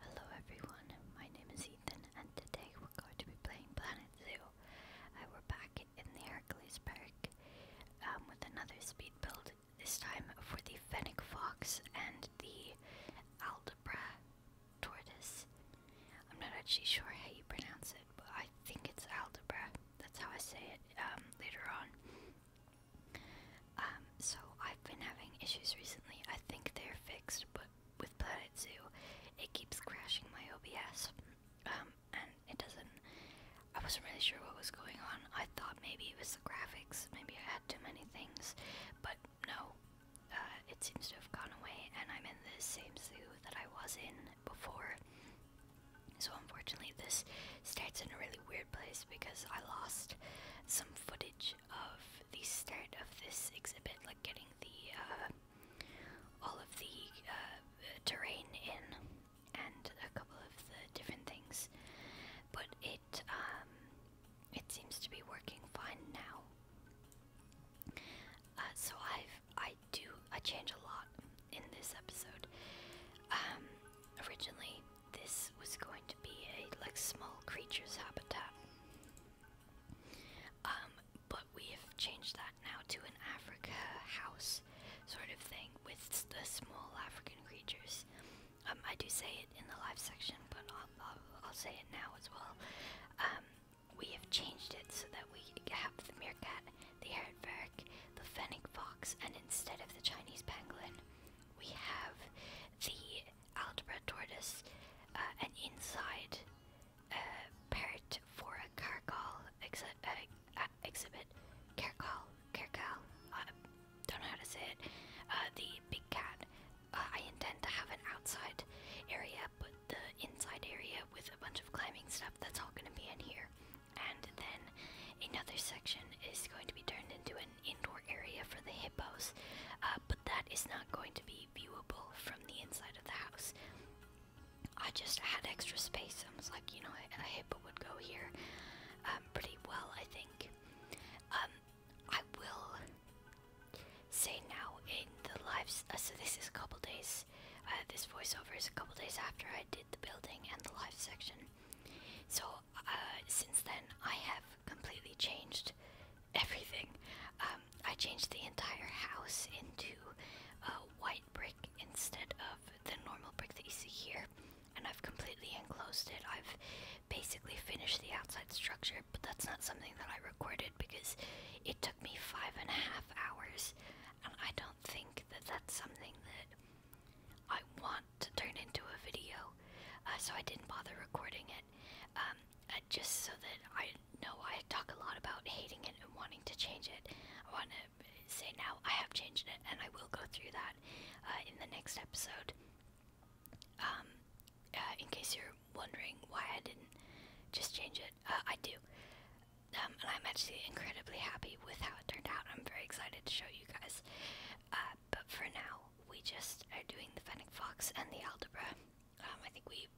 Hello everyone, my name is Ethan and today we're going to be playing Planet Zoo. Uh, we're back in the Hercules Park um, with another speed build, this time for the Fennec Fox and the Aldebra Tortoise. I'm not actually sure how you pronounce it, but I think it's Aldebra. That's how I say it um, later on. Um, so I've been having issues recently. I think they're fixed, but with Planet Zoo, it keeps crashing my OBS. Um, and it doesn't. I wasn't really sure what was going on. I thought maybe it was the graphics, maybe I had too many things, but no. Uh, it seems to have gone away, and I'm in the same zoo that I was in before. So, unfortunately, this starts in a really weird place because I lost some footage of the start of this exhibit, like getting the uh, all of the uh, terrain in and a couple of the different things, but it um, it seems to be working fine now. Uh, so I've I do I change a lot in this episode. Um, originally this was going to be a like small creatures habitat. Um, but we have changed that now to an Africa house sort of thing with the small African creatures. Um, I do say it in the live section, but I'll, say it now as well. Um, we have changed it so that we have the meerkat, the aardvark, the fennec fox, and instead of the Chinese pangolin, we have the algebra tortoise, uh, and inside uh, part for a carcal call uh, uh, exhibit uh, call Carcal, call uh, don't know how to say it. the big cat. I intend to have an outside area, but the inside area with a bunch of climbing stuff, that's all going to be in here. And then another section is going to be turned into indoor area for the hippos, uh, but that is not going to be viewable from the inside of the house. I just had extra space. I was like, you know, a, hippo would go here um, pretty well, I think. Um, I will say now in the lives. Uh, so this is a couple days. Uh, this voiceover is a couple days after I did the building and the live section. So since then, I have completely changed everything. Um, I changed the entire house into uh, white brick instead of the normal brick that you see here, and I've completely enclosed it. I've basically finished the outside structure, but that's not something that I recorded because it took me five and a half hours, and I don't think that that's something that I want to turn into a video, uh, so I didn't bother recording it. Um, uh, just so that I know I talk a lot about hating it and wanting to change it. I want to say now I have changed it, and I will go through that uh, in the next episode. Um, uh, in case you're wondering why I didn't just change it, I do. Um, and I'm actually incredibly happy with how it turned out. I'm very excited to show you guys. Uh, but for now, we just are doing the Fennec Fox and the Aldebra. Um, I think we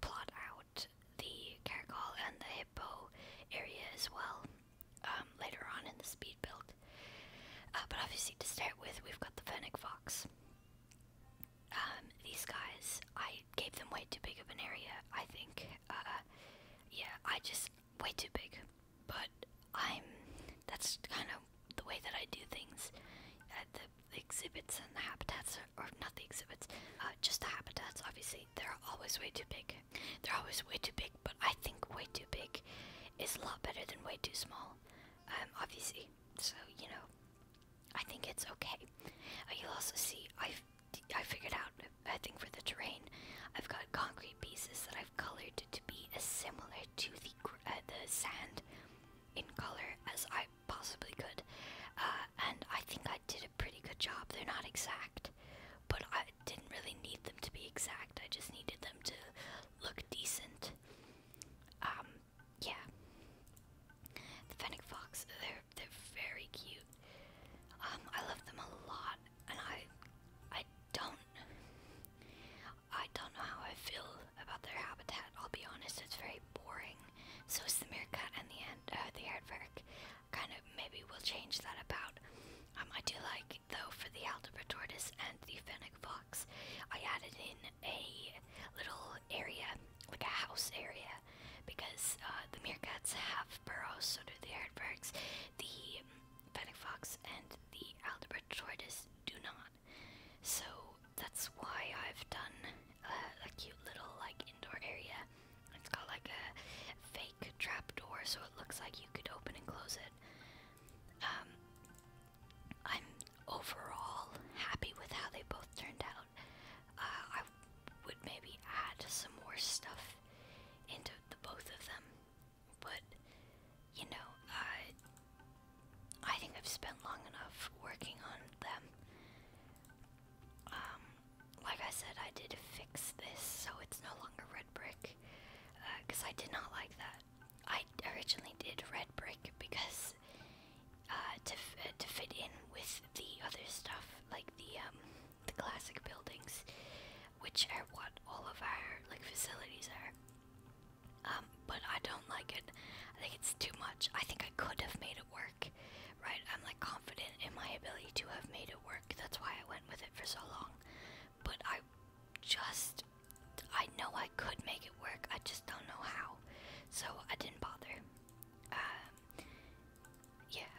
plot out the Caracal and the Hippo area as well um, later on in the speed build. Uh, but obviously, to start with, we've got the Fennec Fox. Um, these guys, I gave them way too big of an area, I think. Uh, yeah, I just, way too big. But I'm, that's kind of the way that I do things at uh, the exhibits and the habitats, or, not the exhibits, uh, just the habitats, obviously, they're always way too big. They're always way too big, but I think way too big is a lot better than way too small, um, obviously. So, you know, I think it's okay. Uh, you'll also see, i I figured out, I think for the terrain, I've got concrete pieces that I've colored to be as similar to the, the sand in color as I possibly could. Uh, and I think I did a pretty good job. They're not exact, but I didn't really need them to be exact. I just needed them to look decent. Um, yeah. The fennec fox, they're they're very cute. Um, I love them a lot, and I I don't I don't know how I feel about their habitat. I'll be honest, it's very boring. So is the meerkat and the ant, uh, the aardvark. Kind of maybe we'll change that about. Um, I do like though for the algebra tortoise and the fennec fox. I added in a little area, like a house area, because uh, the meerkats have burrows, so do the aardvarks. The fennec fox and the algebra tortoise do not. So that's why I've done a cute little like indoor area. It's got like a fake trap door, so it looks like you could open and close it. Um, I'm overall happy with how they both turned out. Uh, I would maybe add some more stuff into the both of them, but you know, uh, I think I've spent long enough working on them. Um, like I said, I did fix this so it's no longer red brick, because uh, I did not like that. I originally did red brick because uh, to uh, to fit in with the other stuff, like the um, the classic buildings, which are what all of our like facilities are. Um, but I don't like it. I think it's too much. I think I could have made it work, right? I'm like confident in my ability to have made it work. That's why I went with it for so long. But I just, I know I could make it work. I just don't know how. So I didn't bother. Um, yeah,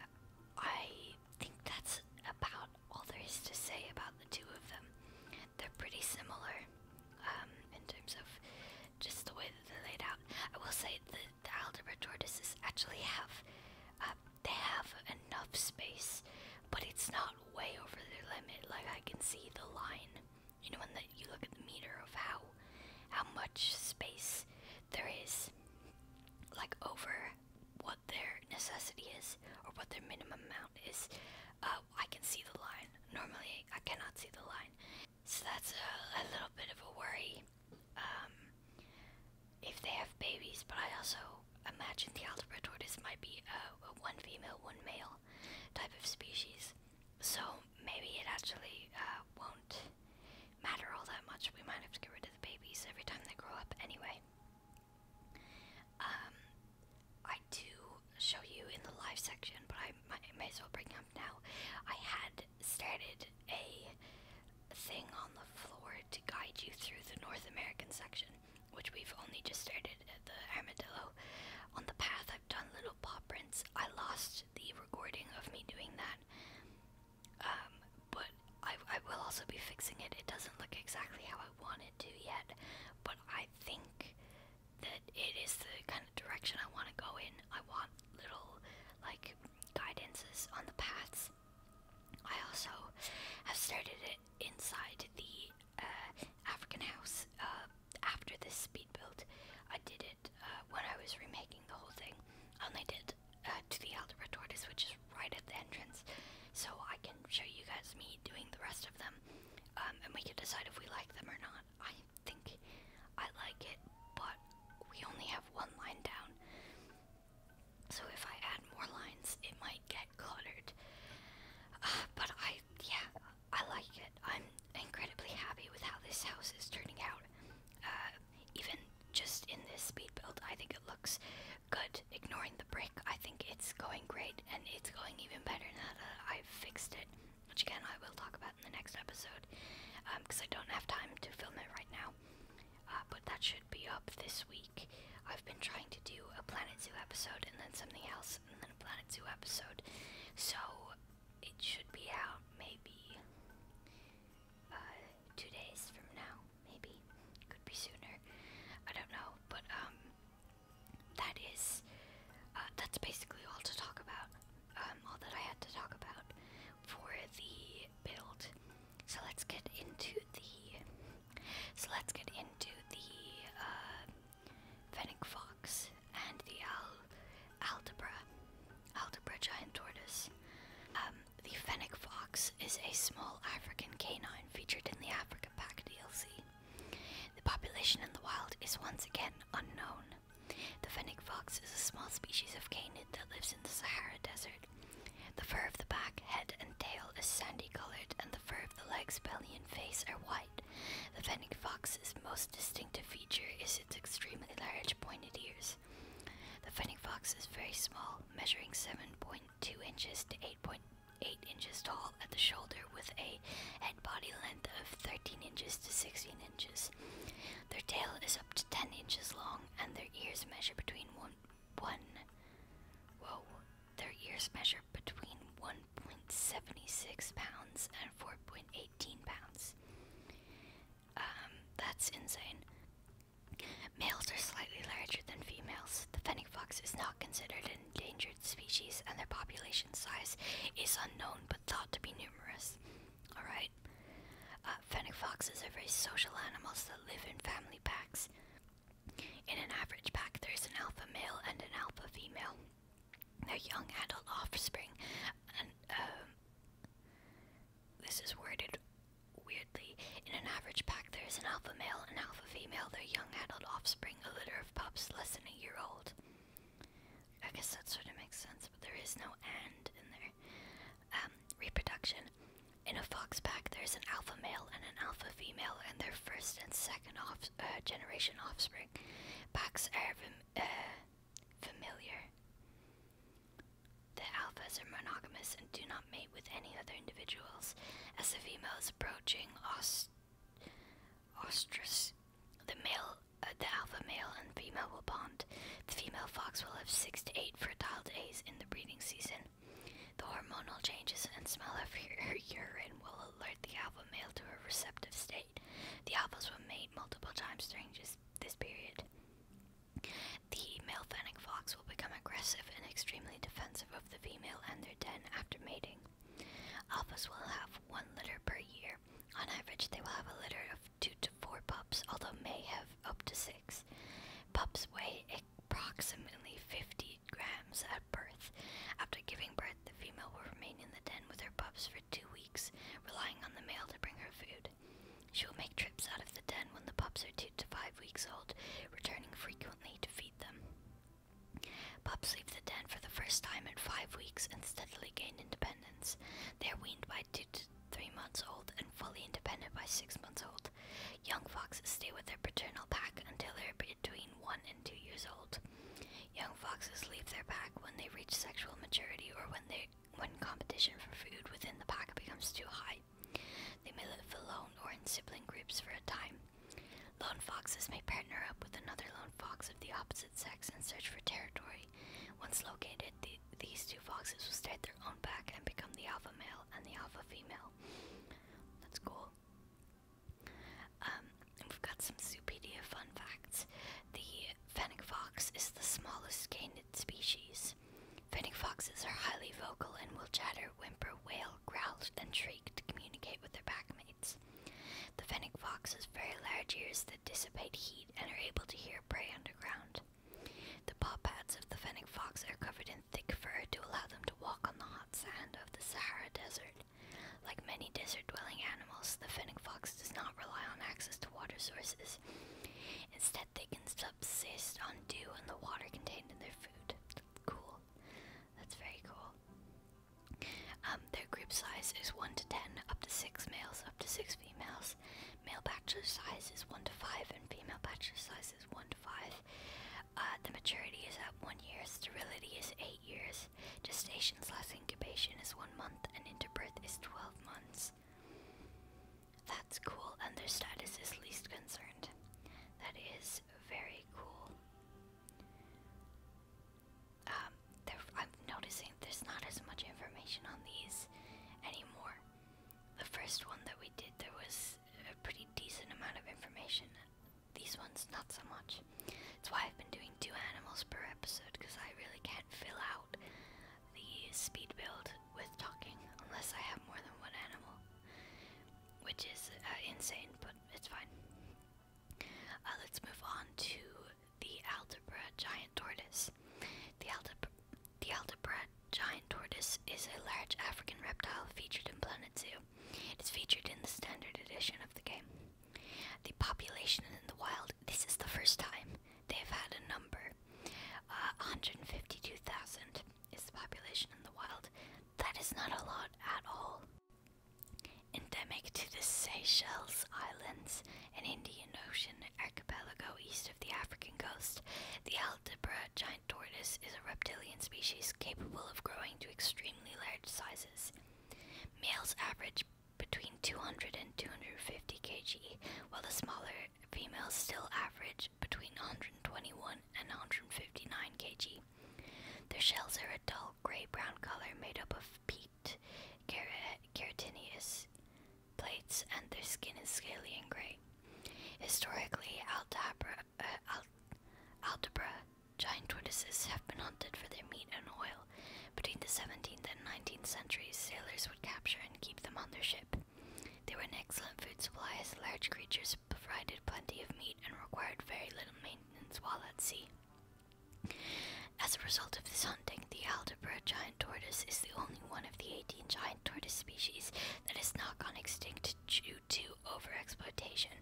I think that's about all there is to say about the two of them they're pretty similar um, in terms of just the way that they're laid out. I will say the, the algebra tortoises actually have uh, they have enough space, but it's not way over their limit. Like I can see the line. You know when the, you look at the meter of how how much space there is, like over what their necessity is or what their minimum amount is. Uh, I can see the line. Normally, I cannot see the line. So that's a, little bit of a worry um, if they have babies, but I also imagine the algebra tortoise might be a, one female, one male type of species. So maybe it actually uh, won't matter all that much. We might have to get rid of the babies every time they grow up anyway. Um, I do show you in the live section, but I might, may as well bring up now. I had started a thing on the floor to guide you through the North American section, which we've only just started at the Armadillo. On the path, I've done little paw prints. I lost the recording of me doing that, um, but I, I will also be fixing it. It doesn't look exactly how I want it to yet, but I think that it is the kind of direction I want to go in. I want little like guidances on the paths. I also have started it inside the uh, African house uh, after this speed build. I did it uh, when I was remaking the whole thing. I only did uh, to the Algebra Tortoise, which is right at the entrance, so I can show you guys me doing the rest of them, um, and we can decide if we like them or not think I like it, but we only have one line down. So if I add more lines, it might get cluttered. Uh, but I, yeah, I like it. I'm incredibly happy with how this house is turning out. Uh, even just in this speed build, I think it looks good. Ignoring the brick, I think it's going great, and it's going even better now that I've fixed it which again I will talk about in the next episode, because um, I don't have time to film it right now. Uh, but that should be up this week. I've been trying to do a Planet Zoo episode and then something else and then a Planet Zoo episode, so it should be out maybe uh, two days from now, maybe. Could be sooner. I don't know, but um, that is, uh, that's basically all to talk about. Um, all that I had to talk about for the build. So let's get into the. So let's get into the uh, Fennec Fox and the Al Aldebra, Aldebra giant tortoise. Um, the Fennec Fox is a small African canine featured in the African Pack DLC. The population in the wild is once again unknown, the fennec fox is a small species of canid that lives in the Sahara Desert. The fur of the back, head, and tail is sandy colored, and the fur of the legs, belly, and face are white. The fennec fox's most distinctive feature is its extremely large pointed ears. The fennec fox is very small, measuring 7.2 inches to 8.8 inches tall at the shoulder, with a body length of 13 inches to 16 inches. Their tail is up to 10 inches long, and their ears measure between one, whoa, their ears measure between 1.76 pounds and 4.18 pounds. Um, that's insane. Males are slightly larger than females. The fennec fox is not considered an endangered species, and their population size is unknown, thought to be numerous. Alright? Uh, fennec foxes are very social animals that live in family packs. In an average pack, there's an alpha male and an alpha female. Their young adult offspring, um, this is worded weirdly. In an average pack, there is an alpha male and alpha female. Their young adult offspring, a litter of pups less than a year old. I guess that sort of makes sense, but there is no end in there. Um, reproduction. In a fox pack, there's an alpha male and an alpha female, and their first and second uh, generation offspring. Packs are uh, familiar. The alphas are monogamous and do not mate with any other individuals. As the female is approaching os the male the alpha male and female will bond. The female fox will have six to eight fertile days in the breeding season. The hormonal changes and smell of her urine will alert the alpha male to her receptive state. The alphas will mate multiple times during this period. The male fennec fox will become aggressive and extremely defensive of the female and their den after mating. Alphas will have one litter per year, on average, they will have a litter of two to four pups, although may have up to six. Pups weigh approximately 50 grams at birth. After giving birth, the female will remain in the den with her pups for two weeks, relying on the male to bring her food. She will make trips out of the den when the pups are two to five weeks old, returning frequently to feed them. Pups leave the den for the first time at five weeks and steadily gain independence. They are weaned by two to three months old and fully independent by six months old. Young foxes stay with their paternal pack until they are between one and two years old. Young foxes leave their pack when they reach sexual maturity or when they when competition for food within the pack becomes too high. They may live alone or in sibling groups for a time. Lone foxes may partner up with another lone fox of the opposite sex and search for territory once located, these two foxes will start their own pack and become the alpha male and the alpha female. That's cool. Um, we've got some Zoopedia fun facts. The fennec fox is the smallest canid species. Fennec foxes are highly vocal and will chatter, whimper, wail, growl, and shriek to communicate with their pack mates. The fennec fox has very large ears dissipate heat and are able to hear prey underground. The paw pads of the fennec fox are covered in thick fur to allow them to walk on the hot sand of the Sahara Desert. Like many desert dwelling animals, the fennec fox does not rely on access to water sources. Instead, they can subsist on dew and the water contained in their food. Cool. That's very cool. Um, their group size is 1 to 10, up to 6 males, up to 6 females. Male bachelor size is 1 to 5, and female bachelor size is 1 to 5. Uh, the maturity is at 1 year, sterility is 8 years, gestation slash incubation is 1 month, and interbirth is 12 months. That's cool, and their status is least concerned. That is very cool. Um, I'm noticing there's not as much information on these anymore. The first one that we did, there was a pretty decent amount of information. These ones, not so much. That's why I've been doing two animals per episode, because I really can't fill out the speed build with talking unless I have more than one animal, which is uh, insane, but it's fine. Uh, let's move on to the Aldabra giant tortoise. The Aldabra, giant tortoise is a large African reptile featured in Planet Zoo. It is featured in the standard edition of the game. The population in the wild, this is the first time they've had a number. Uh, 152,000 is the population in the wild. That is not a lot at all endemic to the Seychelles Islands and Indian Ocean archipelago east of the African coast. The Aldebra giant tortoise is a reptilian species capable of growing to extremely large sizes. Males average between 200 and 250 kg, while the smaller females still average between 121 and 159 kg. Their shells are a dull gray brown color made up of peat white keratinous plates, and their skin is scaly and gray. Historically, Aldabra, uh, giant tortoises have been hunted for their meat and oil. Between the 17th and 19th centuries, sailors would capture and keep them on their ship. They were an excellent food supply as large creatures provided plenty of meat and required very little maintenance while at sea. As a result of this hunting, the Aldebra giant tortoise is the only one of the 18 giant tortoise species that has not gone extinct due to overexploitation.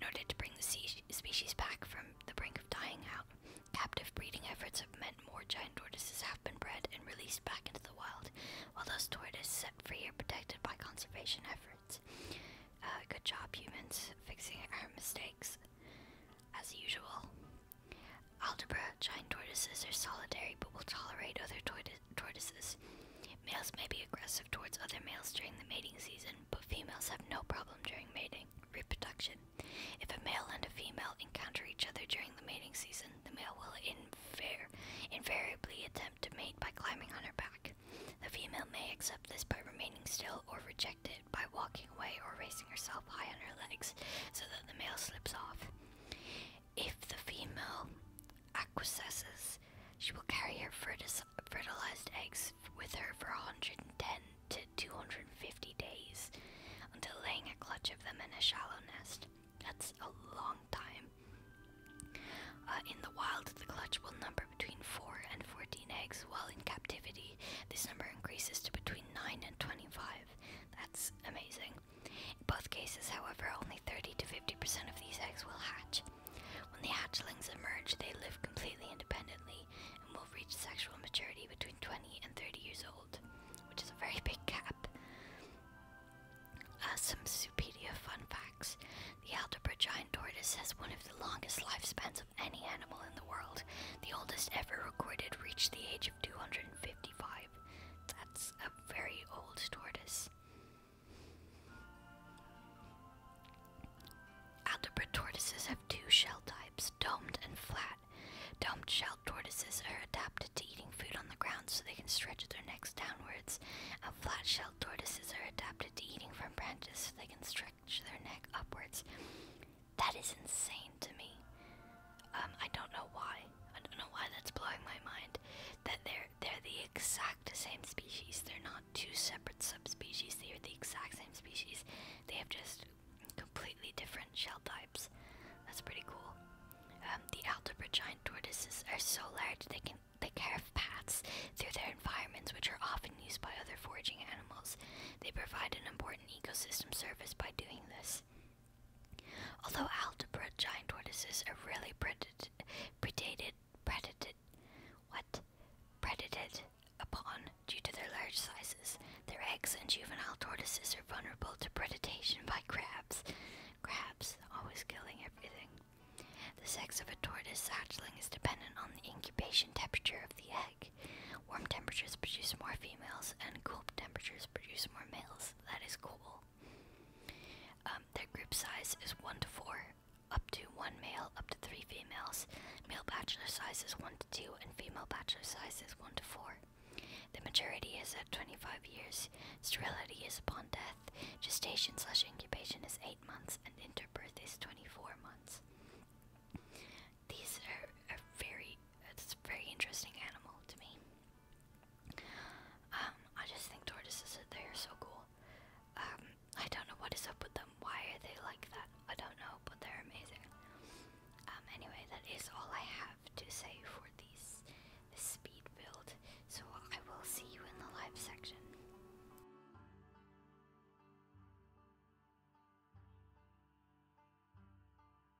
In order to bring the species back from the brink of dying out, captive breeding efforts have meant more giant tortoises have been bred and released back into the wild, while those tortoises set free are protected by conservation efforts. Uh, good job, humans, fixing our mistakes. As usual. Algebra, giant tortoises are solitary but will tolerate other tortoises. Males may be aggressive towards other males during the mating season, but females have no problem during mating reproduction. If a male and a female encounter each other during the mating season, the male will invar invariably attempt to mate by climbing on her back. The female may accept this by remaining still or reject it by walking away or raising herself high on her legs so that the male slips off. If the female acquiesces, she will carry her fertilized eggs with her for 110 to 250 days until laying a clutch of them in a shallow nest. That's a long time. Uh, in the wild, the clutch will number between 4 and 14 eggs, while in captivity, this number increases to between 9 and 25. That's amazing. In both cases, however, only 30 to 50% of these eggs will hatch. When the hatchlings emerge, they live completely independently and will reach sexual maturity between 20 and 30 years old, which is a very big gap. Uh, some Supedia fun facts. The Aldebra giant tortoise has one of the longest lifespans of any animal in the world. The oldest ever recorded reached the age of 255. That's a very old tortoise. Aldebra tortoises have two shell types, domed and flat. Domed shelled tortoises are adapted to eating food on the ground so they can stretch their necks downwards, flat shelled tortoises are adapted to eating from branches so they can stretch their neck upwards. That is insane to me. Um, I don't know why. I don't know why that's blowing my mind. That they're they're the exact same species. They're not two separate subspecies. They are the exact same species. They have just completely different shell types. That's pretty cool. Um, the Algebra giant tortoises are so large they can they carve paths through their environments, which are often used by other foraging animals. They provide an important ecosystem service by doing this. Although algebra giant tortoises are really predat predated predated what predated upon due to their large sizes. Their eggs and juvenile tortoises are vulnerable to predation by crabs. Crabs always killing everything. The sex of a tortoise hatchling is dependent on the incubation temperature of the egg. Warm temperatures produce more females, and cool temperatures produce more males. That is cool. Um, their group size is 1 to 4, up to 1 male, up to 3 females. Male bachelor size is 1 to 2, and female bachelor size is 1 to 4. The maturity is at 25 years. Sterility is upon death. Gestation slash incubation is 8 months, and interbirth is 24 months these are, are very, it's a very interesting animal to me. Um, I just think tortoises are, they are so cool. Um, I don't know what is up with them. Why are they like that? I don't know, but they're amazing. Um, anyway, that is all I have to say for this speed build. So I will see you in the live section.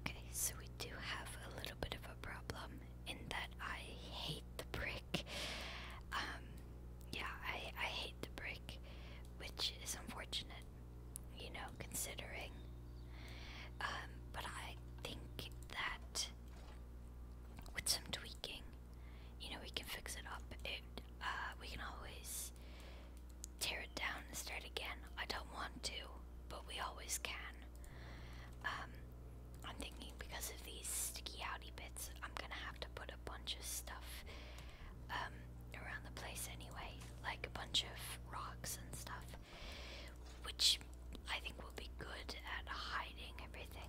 Okay, so we do have a little bit of a problem in that I hate the brick. Um, yeah, I, I hate the brick, which is unfortunate, you know, considering. Um, but I think that with some tweaking, you know we can fix it up. It uh, we can always tear it down and start again. I don't want to, but we always can. Um, I'm thinking because of these sticky outy bits, I'm gonna have to put a bunch of stuff um, around the place anyway, like a bunch of rocks and stuff, which I think will be good at hiding everything.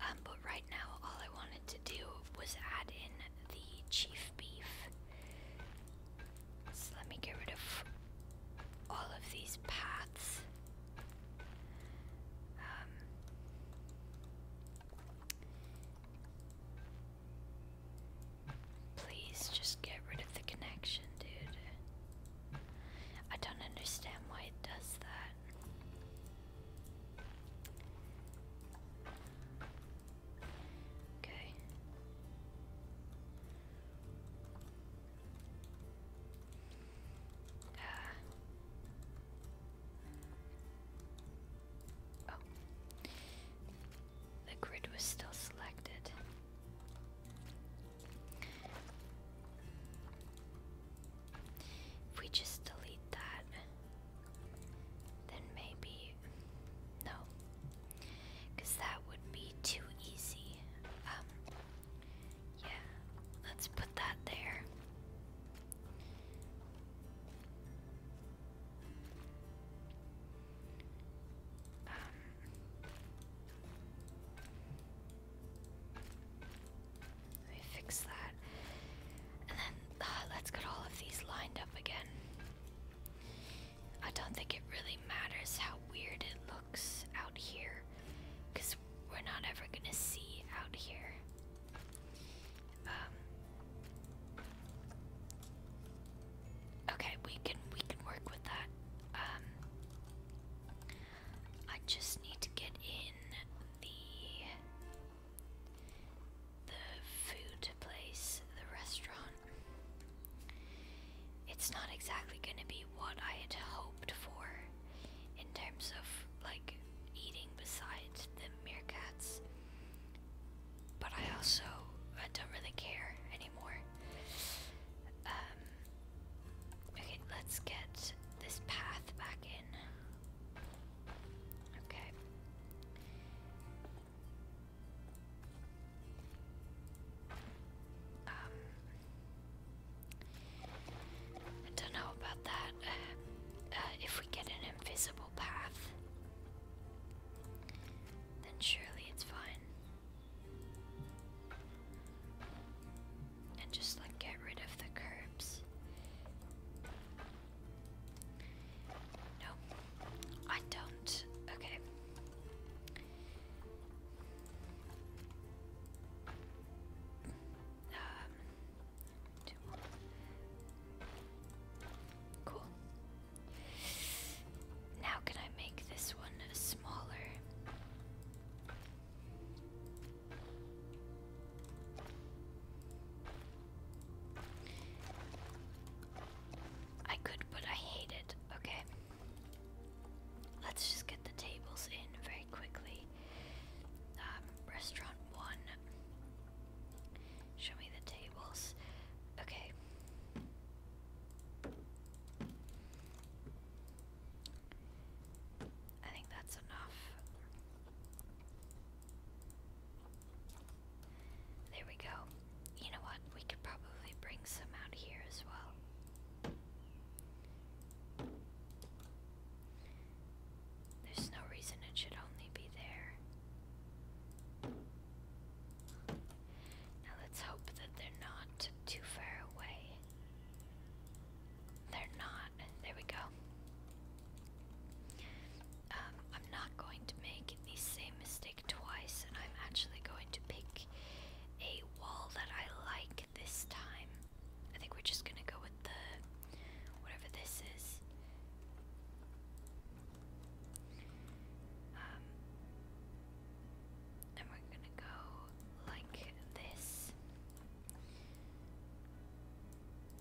Um, but right now, all I wanted to do was add in the chief beef. So let me get rid of all of these paths. Um, please just get rid of the connection, dude. I don't understand why it does that. Okay. Ah. Oh. The grid was still selected. If we just delete that, then maybe. No. Because that would be too easy. Um, yeah, let's put that there. Um, let me fix that. And then uh, let's get all of these lined up again. I don't think it really matters how weird it looks out here, because we're not ever gonna see out here. Um, okay, we can we can work with that. Um, I just need to get in the the food place, the restaurant. It's not exactly going to be what I had hoped for in terms of like eating besides the meerkats, but I also I don't really care anymore. Um, okay, let's get this path back in. Okay. Um, I don't know about that. Uh, uh, if we get an invisible path, then surely it's fine. And just like get rid of the curbs. Nope, I don't. Okay. Um, two more. Cool. Now, can I make this one smaller? I could, but I hate it. Okay. Let's just get the tables in very quickly. Um, restaurant one. Show me the tables. Okay. I think that's enough. There we go. You know what? We could probably bring some out here as well. There's no reason it should only be there. Now let's hope that they're not too far away. They're not. There we go. Um, I'm not going to make the same mistake twice, and I'm actually going to pick a wall that I like this time. I think we're just gonna go with the whatever this is. Um, and we're gonna go like this.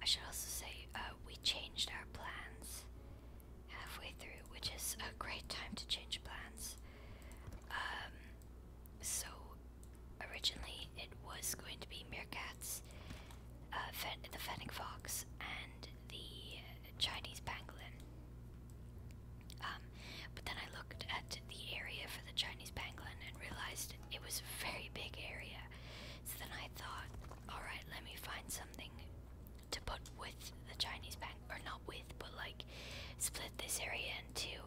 I should also say uh, we changed our plans halfway through, which is a great time to change plans. Um, so originally it was going to be meerkats, uh, fen the fennec fox, and the Chinese pangolin. Um, but then I looked at the area for the Chinese pangolin and realized it was a very big area. So then I thought, alright, let me find something to put with the Chinese bank, or not with, but like split this area in two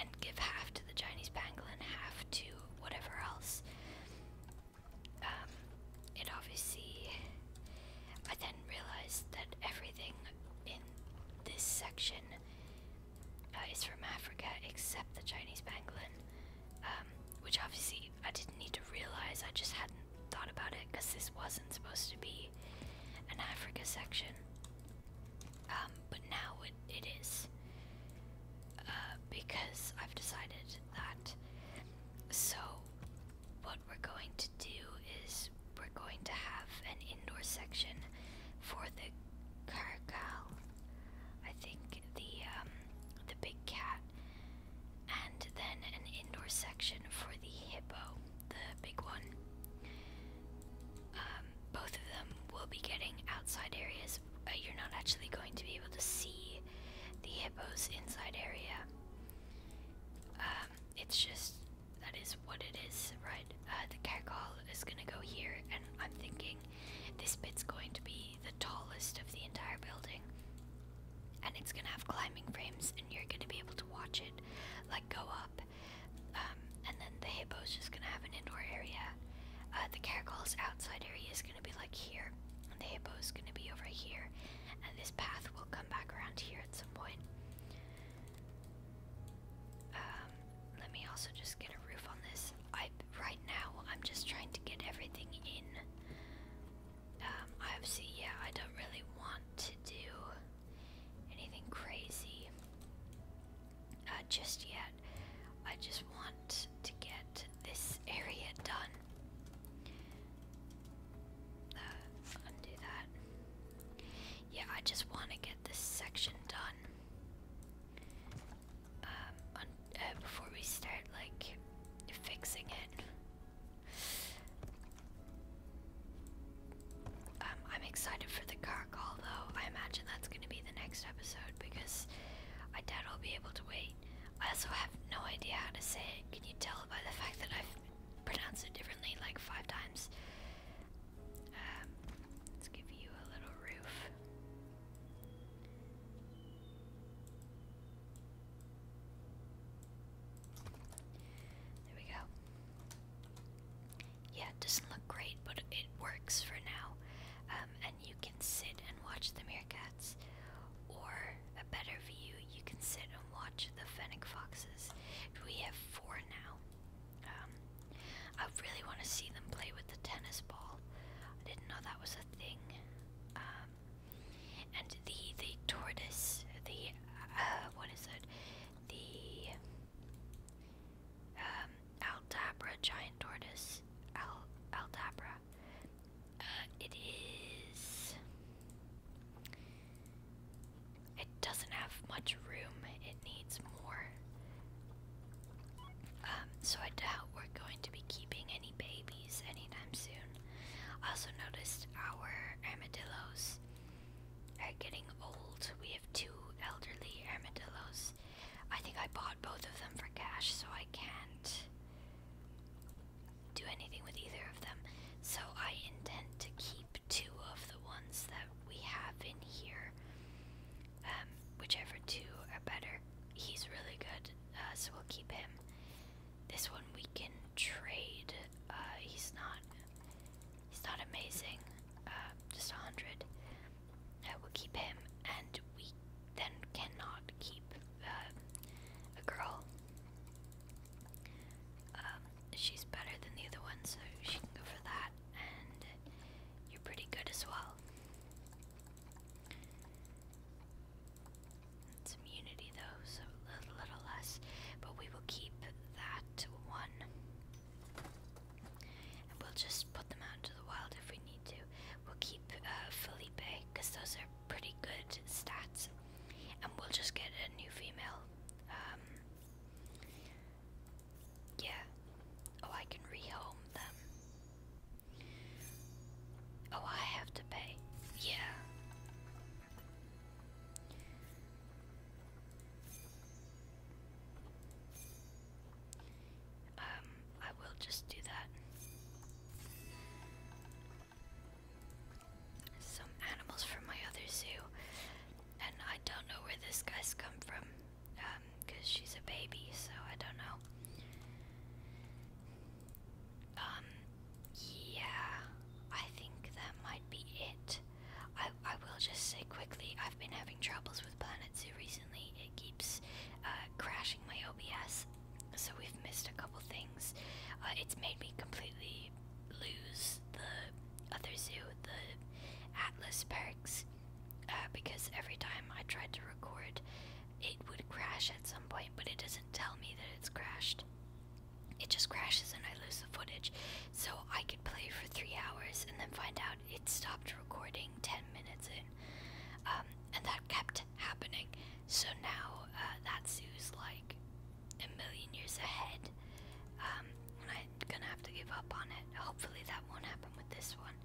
and give half to the Chinese pangolin, half to whatever else. Um, it obviously. I then realized that everything in this section uh, is from Africa except the Chinese pangolin. Um, which obviously I didn't need to realize, I just hadn't thought about it because this wasn't supposed to be an Africa section. Um, but now it, it is. Uh, because I've decided that. So, what we're going to do is we're going to have an indoor section for the Kargal, I think the um, the big cat, and then an indoor section for the hippo, the big one. Um, both of them will be getting outside areas. Uh, you're not actually going to be able to see the hippo's inside area. Um, it's just that is what it is, right? Uh, the catcall is gonna go here, and I'm thinking this bit's going to be the tallest of the entire building. And it's gonna have climbing frames, and you're gonna be able to watch it like go up. Um, and then the hippo's just gonna have an indoor area. Uh, the caracals' outside area is gonna be like here, and the hippo's gonna be over here. And this path will come back around here at some point. Um, let me also just get a roof on this right now I'm just trying to get everything in. Um, obviously, yeah, I don't really want to do anything crazy uh, just yet. I just want to get this area done. Uh, undo that. Yeah, I just want to get this section done. Um, uh, before we start like fixing it. Um, I'm excited for the car call though. I imagine that's gonna be the next episode because I doubt I'll be able to wait. I also have no idea how to say it. Can you tell by the fact that I've pronounced it differently like five times? Um, let's give you a little roof. There we go. Yeah, it doesn't look great, but it works for now. Um, and you can sit and watch the meerkats, or a better view, you can sit and watch the fennec foxes. We have four now. Um, I really want to see them play with the tennis ball. I didn't know that was a thing. Um, and the the tortoise, the uh, what is it? The um, giant tortoise, Al Aldabra. its uh, it is. It doesn't have much room. It needs more um, so I doubt we're going to be keeping any babies anytime soon. I also noticed our armadillos are getting old. We have two elderly armadillos. I think I bought both of them for cash, so I can't do anything with either of them. So I intend to keep two of the ones that we have in here um, whichever two are better. He's really good, uh, so we'll keep him. This one we can trade. Uh, he's not. He's not amazing. Uh, just a hundred. I will keep him, and we then cannot keep uh, a girl. Um, she's better than the other one, so she can go for that, and you're pretty good as well immunity though, so a little less, but we will keep that one. we'll just put them out into the wild if we need to. We'll keep uh, Felipe, because those are pretty good stats. And we'll just get a new female. Um, yeah. Oh, I can rehome them. Oh, I have to pay. Yeah. Um, I will just do that. Some animals from my other zoo, and I don't know where this guy's come from, um, she's a baby, so I don't know. Um, yeah, I think that might be it. I, I will just say quickly, I've been having troubles with Planet Zoo recently. It keeps uh, crashing my OBS, so we've missed a couple things. Uh, it's made me completely lose the other zoo, the Atlas Parks, uh, because every time I tried to record, it would crash at some point, but it doesn't tell me that it's crashed. It just crashes and I lose the footage. So I could play for three hours and then find out it stopped recording 10 minutes in. Um, and that kept happening. So now that's uh, that like a million years ahead. Um, I'm gonna have to give up on it. Hopefully that won't happen with this one.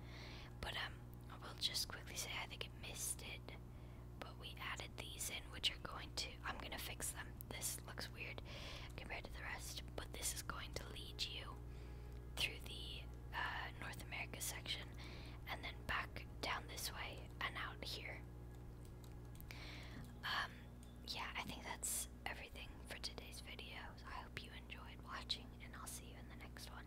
But um, I will just quickly say I think it missed it, but we added these in, which are going to. I'm gonna fix them. This looks weird compared to the rest, but this is going to lead you through the uh, North America section, and then back down this way and out here. Um, yeah, I think that's everything for today's video. I hope you enjoyed watching, and I'll see you in the next one.